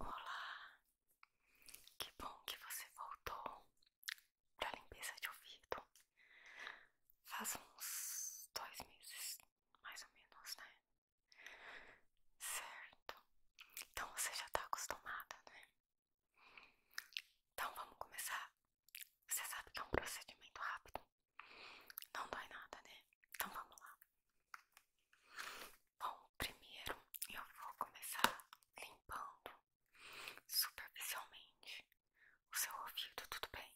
Olá, que bom que você voltou para limpeza de ouvido. Faz uns dois meses, mais ou menos, né? Certo. Então você já está acostumada, né? Então vamos começar. Você sabe que é um procedimento rápido. Não dói nada, né? Então vamos lá. Bom, primeiro eu vou começar limpando superficialmente o seu ouvido, tudo bem?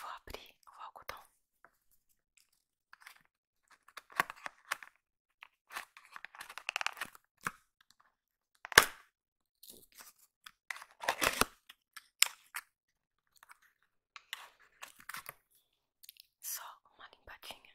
vou abrir o algodão. Só uma limpadinha.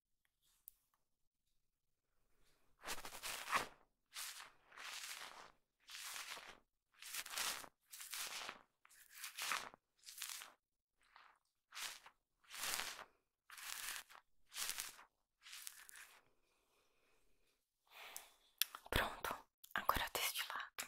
Pronto, agora deste lado.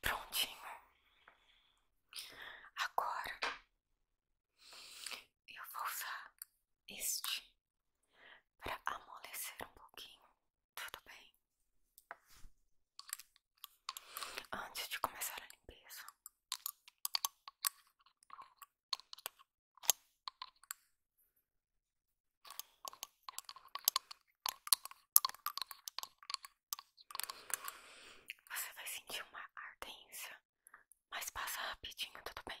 Prontinho. Agora eu vou usar este para amolecer um pouquinho, tudo bem? Antes de começar a limpeza. Você vai sentir uma ardência mas passa rapidinho, tá tudo bem?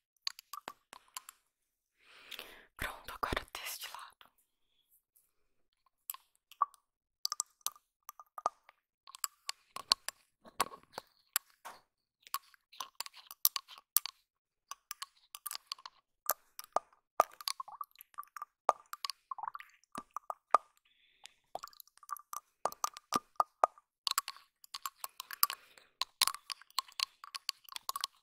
Pronto, agora deste lado.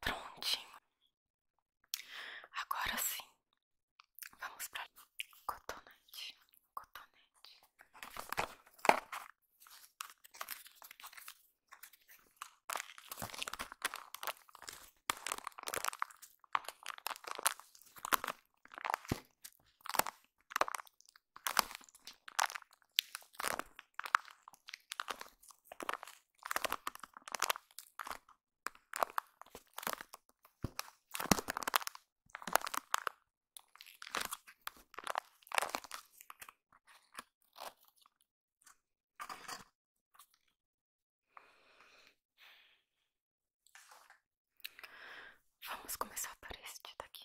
Prontinho. Agora sim, vamos para cotonete, cotonete. Vamos começar por este daqui.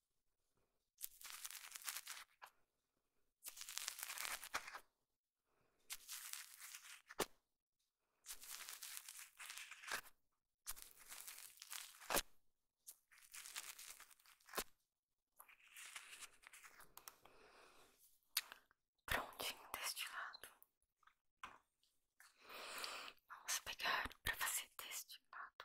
Prontinho deste lado. Vamos pegar para fazer deste lado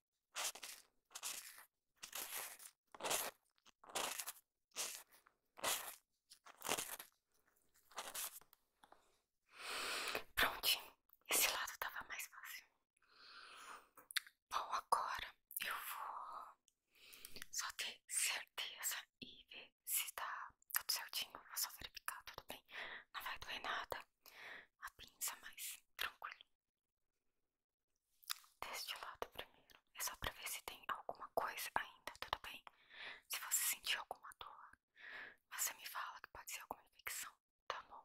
Prontinho, esse lado tava mais fácil. Bom, agora eu vou só ter certeza e ver se tá tudo certinho. Vou só verificar, tudo bem. Não vai doer nada a pinça, mas tranquilo deste lado primeiro. É só pra ver se tem alguma coisa ainda, tudo bem? Se você sentir alguma dor, você me fala que pode ser alguma infecção, tá bom?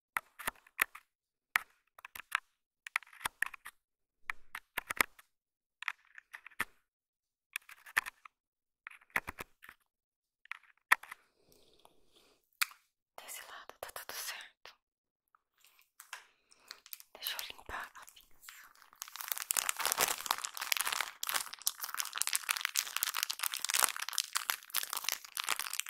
Desse lado tá tudo certo. Deixa eu limpar a pinça.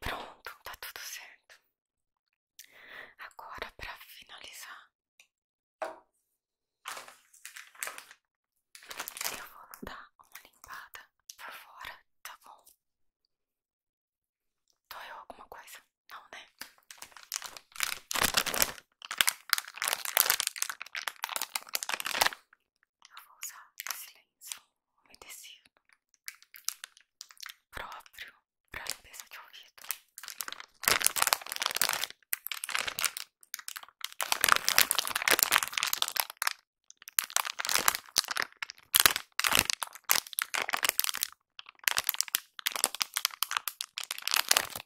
Pronto, tá tudo certo. Agora, para finalizar, eu vou dar uma limpada por fora, tá bom? Doeu alguma coisa? Não, né? Eu vou usar silêncio, lenço umedecido próprio para limpeza de ouvido.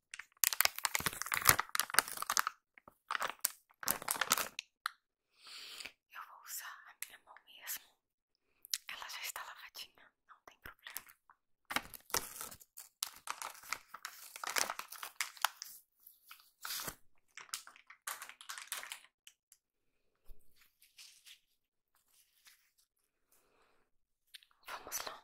Eu vou usar a minha mão mesmo. Ela já está lavadinha, não tem problema. Vamos lá.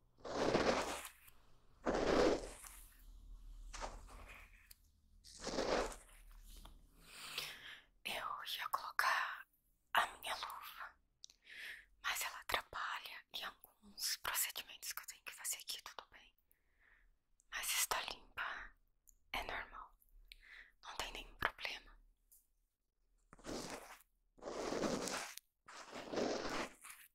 Eu ia colocar a minha luva, mas ela atrapalha em alguns procedimentos que eu tenho que fazer aqui, tudo bem. Mas está limpa, é normal, não tem nenhum problema.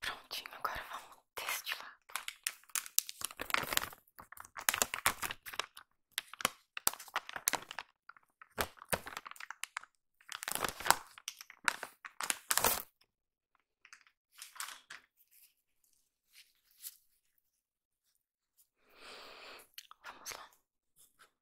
Prontinho, agora vamos deste Vamos lá.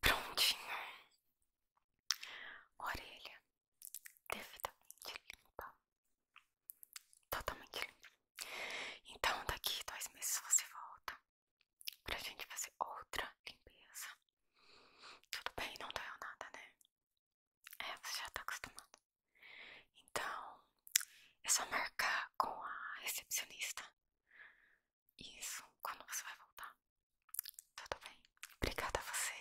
Prontinho, orelha devidamente limpa, totalmente limpa. Então, daqui dois meses você volta pra gente fazer outra limpeza. Tudo bem, não doeu nada, né? É, você já tá acostumado. Então, é só marcar com a recepcionista. Isso, quando você vai voltar. Tudo bem. Obrigada a você.